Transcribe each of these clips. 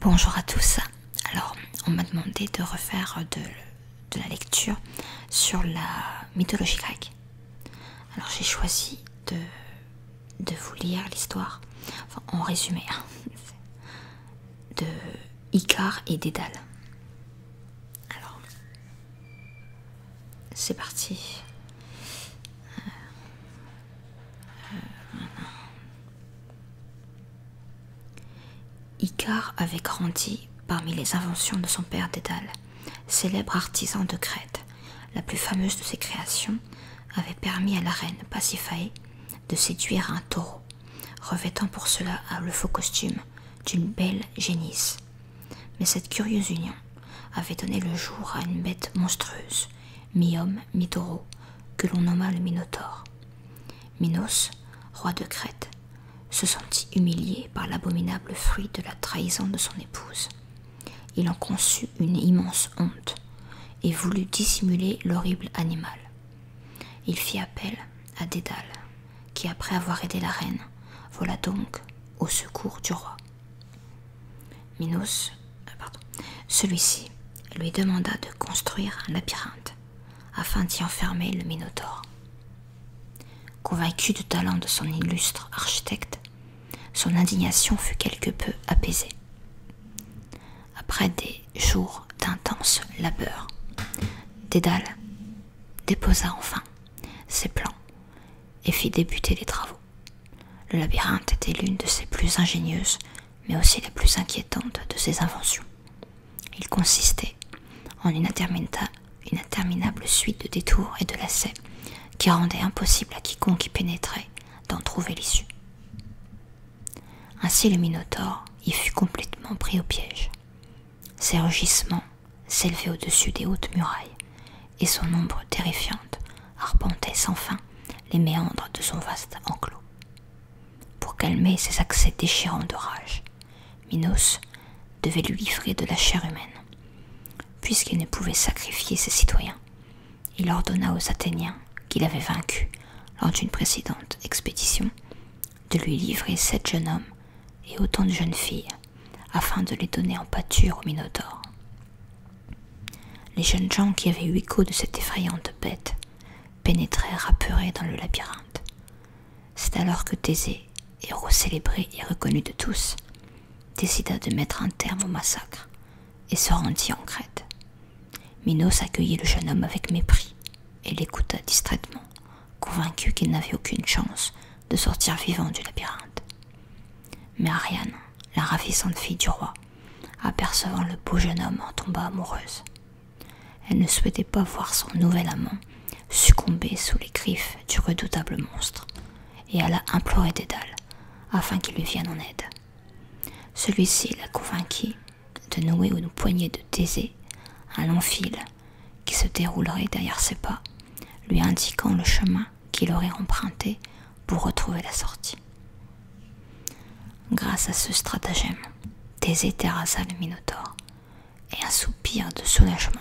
Bonjour à tous. Alors, on m'a demandé de refaire de, la lecture sur la mythologie grecque. Alors j'ai choisi de, vous lire l'histoire, enfin, en résumé, hein. de Icare et Dédale. Alors, c'est parti. Euh, euh, Icare avait grandi parmi les inventions de son père Dédale célèbre artisan de Crète, la plus fameuse de ses créations, avait permis à la reine Pasiphae de séduire un taureau, revêtant pour cela le faux costume d'une belle génisse. Mais cette curieuse union avait donné le jour à une bête monstrueuse, mi-homme, mi-taureau, que l'on nomma le Minotaure. Minos, roi de Crète, se sentit humilié par l'abominable fruit de la trahison de son épouse. Il en conçut une immense honte et voulut dissimuler l'horrible animal. Il fit appel à Dédale, qui, après avoir aidé la reine, vola donc au secours du roi. Minos, euh, celui-ci lui demanda de construire un labyrinthe afin d'y enfermer le Minotaure. Convaincu du talent de son illustre architecte, son indignation fut quelque peu apaisée. Après des jours d'intenses labeurs, Dédale déposa enfin ses plans et fit débuter les travaux. Le labyrinthe était l'une de ses plus ingénieuses, mais aussi la plus inquiétante de ses inventions. Il consistait en une interminable suite de détours et de lacets qui rendaient impossible à quiconque y pénétrait d'en trouver l'issue. Ainsi le Minotaure y fut complètement pris au piège. Ses rugissements s'élevaient au-dessus des hautes murailles, et son ombre terrifiante arpentait sans fin les méandres de son vaste enclos. Pour calmer ses accès déchirants de rage, Minos devait lui livrer de la chair humaine. Puisqu'il ne pouvait sacrifier ses citoyens, il ordonna aux Athéniens qu'il avait vaincus lors d'une précédente expédition de lui livrer sept jeunes hommes et autant de jeunes filles afin de les donner en pâture aux Minotaures. Les jeunes gens qui avaient eu écho de cette effrayante bête pénétrèrent apeurés dans le labyrinthe. C'est alors que Thésée, héros célébré et reconnu de tous, décida de mettre un terme au massacre et se rendit en Crète. Minos accueillit le jeune homme avec mépris et l'écouta distraitement, convaincu qu'il n'avait aucune chance de sortir vivant du labyrinthe. Mais Ariane, la ravissante fille du roi, apercevant le beau jeune homme en tomba amoureuse. Elle ne souhaitait pas voir son nouvel amant succomber sous les griffes du redoutable monstre, et alla implorer Dédale afin qu'il lui vienne en aide. Celui-ci la convainquit de nouer une poignée de thésée, un long fil qui se déroulerait derrière ses pas, lui indiquant le chemin qu'il aurait emprunté pour retrouver la sortie. Grâce à ce stratagème, Thésée terrassa le Minotaure, et un soupir de soulagement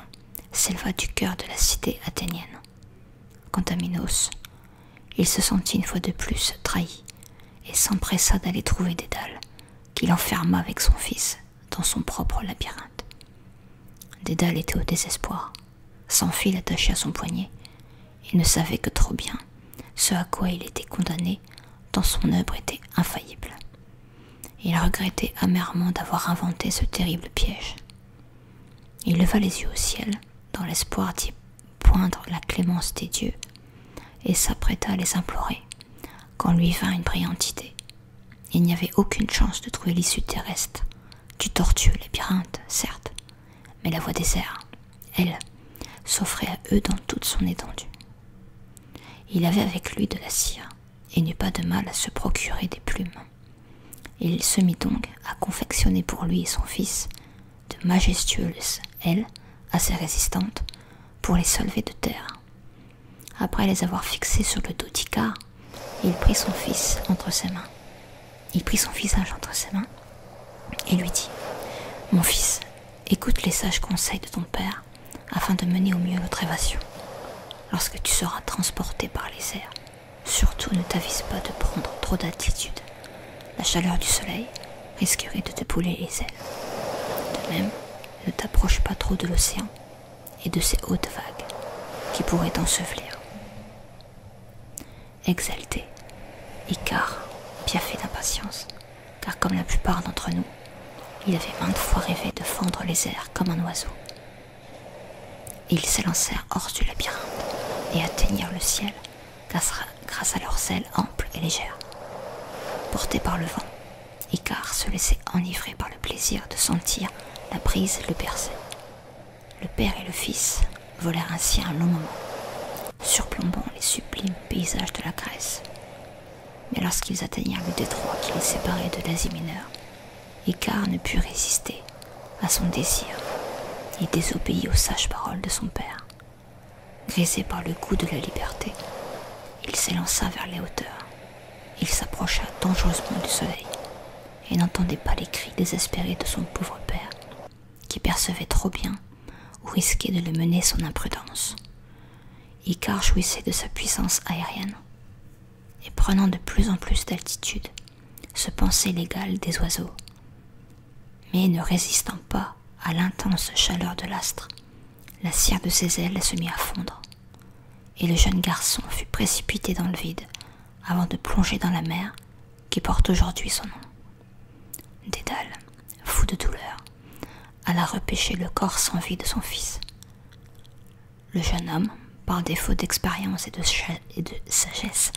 s'éleva du cœur de la cité athénienne. Quant à Minos, il se sentit une fois de plus trahi, et s'empressa d'aller trouver Dédale, qu'il enferma avec son fils dans son propre labyrinthe. Dédale était au désespoir, sans fil attaché à son poignet, il ne savait que trop bien ce à quoi il était condamné dans son œuvre était infaillible. Il regrettait amèrement d'avoir inventé ce terrible piège. Il leva les yeux au ciel, dans l'espoir d'y poindre la clémence des dieux, et s'apprêta à les implorer, quand lui vint une brillante idée. Il n'y avait aucune chance de trouver l'issue terrestre, du tortueux labyrinthe, certes, mais la voie des airs, elle, s'offrait à eux dans toute son étendue. Il avait avec lui de la cire et n'eut pas de mal à se procurer des plumes. Il se mit donc à confectionner pour lui et son fils de majestueuses ailes assez résistantes pour les soulever de terre. Après les avoir fixées sur le dos d'Icar, il prit son fils entre ses mains. Il prit son visage entre ses mains et lui dit Mon fils, Écoute les sages conseils de ton père afin de mener au mieux notre évasion. Lorsque tu seras transporté par les airs, surtout ne t'avise pas de prendre trop d'attitude. La chaleur du soleil risquerait de te pouler les ailes. De même, ne t'approche pas trop de l'océan et de ses hautes vagues qui pourraient t'ensevelir. Exalté, bien piaffé d'impatience, car comme la plupart d'entre nous, il avait maintes fois rêvé de fendre les airs comme un oiseau. Ils s'élancèrent hors du labyrinthe et atteignirent le ciel grâce à leurs ailes amples et légères. Portés par le vent, Icar se laissait enivrer par le plaisir de sentir la brise le bercer. Le père et le fils volèrent ainsi un long moment, surplombant les sublimes paysages de la Grèce. Mais lorsqu'ils atteignirent le détroit qui les séparait de l'Asie mineure, Icar ne put résister à son désir et désobéit aux sages paroles de son père. Grisé par le goût de la liberté, il s'élança vers les hauteurs. Il s'approcha dangereusement du soleil et n'entendait pas les cris désespérés de son pauvre père qui percevait trop bien ou risquait de le mener son imprudence. Icar jouissait de sa puissance aérienne et prenant de plus en plus d'altitude, se pensait l'égal des oiseaux. Mais ne résistant pas à l'intense chaleur de l'astre, la cire de ses ailes se mit à fondre, et le jeune garçon fut précipité dans le vide avant de plonger dans la mer qui porte aujourd'hui son nom. Dédale, fou de douleur, alla repêcher le corps sans vie de son fils. Le jeune homme, par défaut d'expérience et de, sagesse,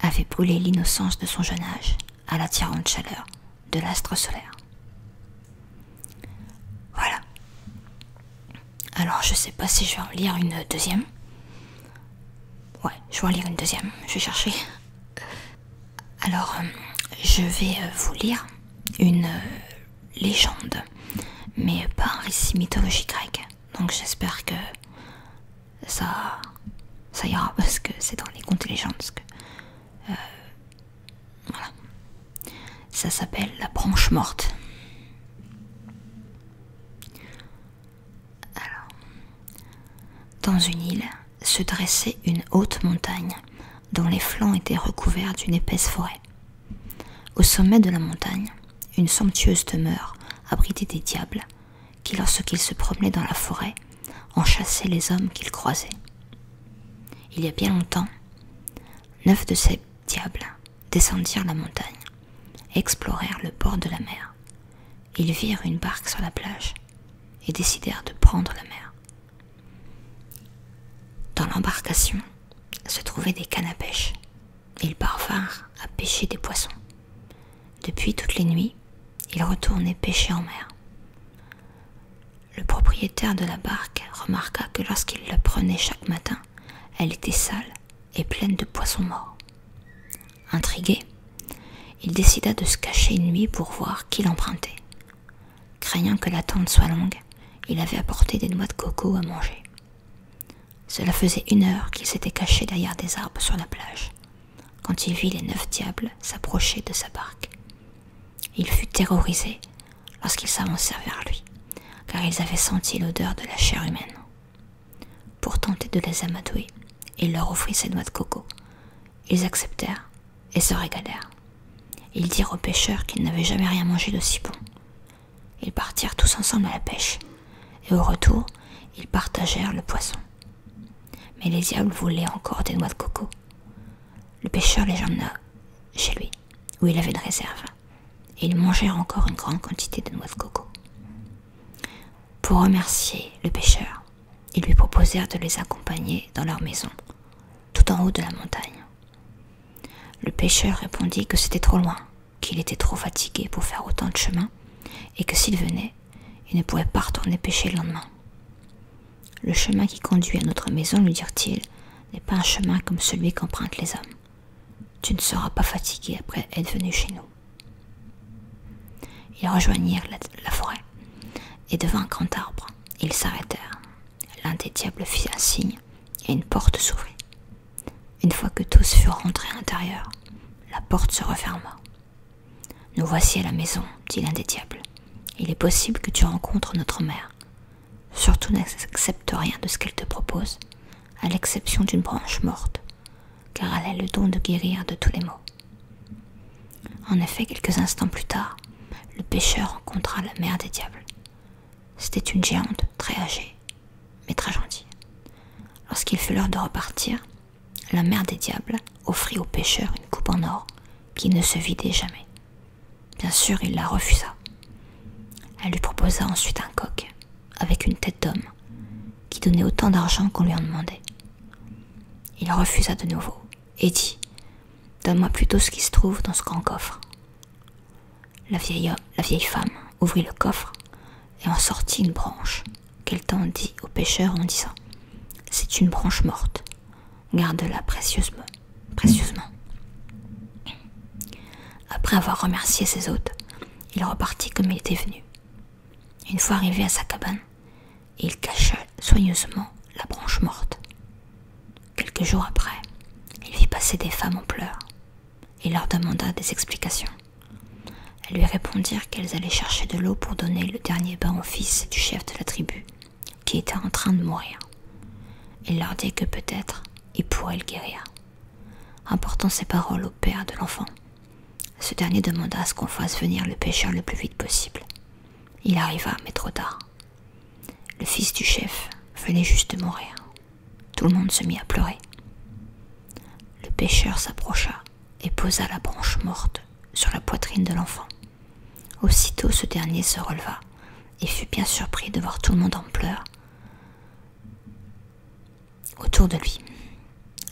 avait brûlé l'innocence de son jeune âge à l'attirante chaleur de l'astre solaire. Voilà. Alors je ne sais pas si je vais en lire une deuxième. Ouais, je vais en lire une deuxième, je vais chercher. Alors, euh, je vais euh, vous lire une euh, légende, mais pas un récit mythologique grec. Donc j'espère que ça, ça ira parce que c'est dans les contes et légendes. que, voilà. Ça s'appelle la branche morte. Alors, dans une île se dressait une haute montagne dont les flancs étaient recouverts d'une épaisse forêt. Au sommet de la montagne, une somptueuse demeure abritait des diables qui, lorsqu'ils se promenaient dans la forêt, en chassaient les hommes qu'ils croisaient. Il y a bien longtemps, neuf de ces diables descendirent la montagne, explorèrent le bord de la mer, ils virent une barque sur la plage et décidèrent de prendre la mer. Dans l'embarcation se trouvaient des cannes à pêche. Ils parvinrent à pêcher des poissons. Depuis toutes les nuits, ils retournaient pêcher en mer. Le propriétaire de la barque remarqua que lorsqu'il la prenait chaque matin, elle était sale et pleine de poissons morts. Intrigué, il décida de se cacher une nuit pour voir qui l'empruntait. Craignant que l'attente soit longue, il avait apporté des noix de coco à manger. Cela faisait une heure qu'il s'était caché derrière des arbres sur la plage, quand il vit les neuf diables s'approcher de sa barque. Il fut terrorisé lorsqu'ils s'avancèrent vers lui, car ils avaient senti l'odeur de la chair humaine pour tenter de les amadouer, il leur offrit ses noix de coco. Ils acceptèrent et se régalèrent. Ils dirent aux pêcheurs qu'ils n'avaient jamais rien mangé d'aussi bon. Ils partirent tous ensemble à la pêche, et au retour, ils partagèrent le poisson. Mais les diables voulaient encore des noix de coco. Le pêcheur les emmena chez lui, où il avait une réserve. Et ils mangèrent encore une grande quantité de noix de coco. Pour remercier le pêcheur, ils lui proposèrent de les accompagner dans leur maison, tout en haut de la montagne. Le pêcheur répondit que c'était trop loin, qu'il était trop fatigué pour faire autant de chemin, et que s'il venait, il ne pourrait pas retourner pêcher le lendemain. Le chemin qui conduit à notre maison, lui dirent-ils, n'est pas un chemin comme celui qu'empruntent les hommes. Tu ne seras pas fatigué après être venu chez nous. Ils rejoignirent la, forêt et devant un grand arbre, ils s'arrêtèrent. L'un des diables fit un signe et une porte s'ouvrit. Une fois que tous furent rentrés à l'intérieur, la porte se referma. Nous voici à la maison, dit l'un des diables. Il est possible que tu rencontres notre mère. Surtout n'accepte rien de ce qu'elle te propose, à l'exception d'une branche morte, car elle a le don de guérir de tous les maux. En effet, quelques instants plus tard, le pêcheur rencontra la mère des diables. C'était une géante très âgée, mais très gentille. Lorsqu'il fut l'heure de repartir, la mère des diables offrit au pêcheur une coupe en or qui ne se vidait jamais. Bien sûr, il la refusa. Elle lui proposa ensuite un coq avec une tête d'homme, qui donnait autant d'argent qu'on lui en demandait. Il refusa de nouveau, et dit Donne-moi plutôt ce qui se trouve dans ce grand coffre. La vieille, la vieille femme ouvrit le coffre et en sortit une branche, qu'elle tendit au pêcheur en disant C'est une branche morte, garde-la précieusement. précieusement. Après avoir remercié ses hôtes, il repartit comme il était venu. Une fois arrivé à sa cabane, il cacha soigneusement la branche morte. Quelques jours après, il vit passer des femmes en pleurs. et leur demanda des explications. Elles lui répondirent qu'elles allaient chercher de l'eau pour donner le dernier bain au fils du chef de la tribu, qui était en train de mourir. Il leur dit que peut-être il pourrait le guérir. Apportant ces paroles au père de l'enfant, ce dernier demanda à ce qu'on fasse venir le pêcheur le plus vite possible. Il arriva, mais trop tard. Le fils du chef venait juste de mourir. Tout le monde se mit à pleurer. Le pêcheur s'approcha et posa la branche morte sur la poitrine de l'enfant. Aussitôt ce dernier se releva et fut bien surpris de voir tout le monde en pleurs Autour de lui,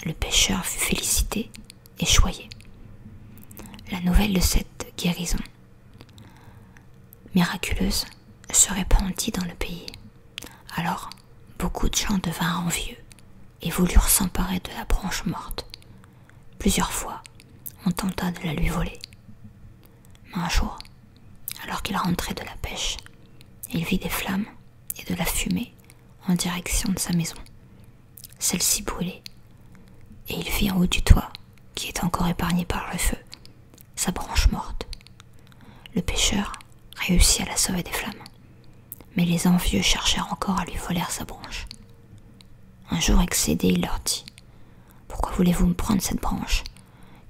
le pêcheur fut félicité et choyé. La nouvelle de cette guérison miraculeuse se répandit dans le pays. Alors, beaucoup de gens devinrent envieux et voulurent s'emparer de la branche morte. Plusieurs fois, on tenta de la lui voler. Mais un jour, alors qu'il rentrait de la pêche, il vit des flammes et de la fumée en direction de sa maison. Celle-ci brûlait, et il vit en haut du toit, qui est encore épargné par le feu, sa branche morte. Le pêcheur réussit à la sauver des flammes, mais les envieux cherchèrent encore à lui voler sa branche. Un jour excédé, il leur dit Pourquoi voulez-vous me prendre cette branche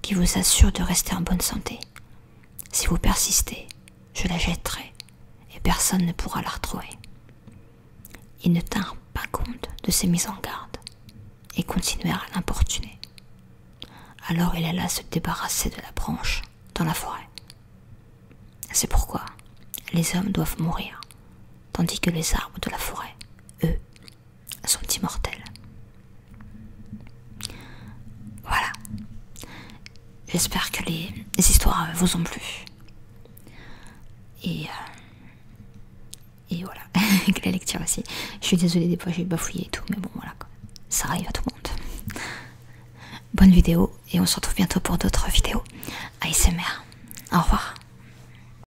qui vous assure de rester en bonne santé. Si vous persistez, je la jetterai et personne ne pourra la retrouver. Ils ne tinrent pas compte de ces mises en garde et continuèrent à l'importuner. Alors il alla se débarrasser de la branche dans la forêt. C'est pourquoi les hommes doivent mourir, tandis que les arbres de la forêt, eux, sont immortels. Voilà. J'espère que les, histoires euh, vous ont plu. Et, euh, et voilà. que la lecture aussi. Je suis désolée des fois j'ai bafouillé et tout, mais bon voilà. Ça arrive à tout le monde. Bonne vidéo et on se retrouve bientôt pour d'autres vidéos. ASMR. Au revoir.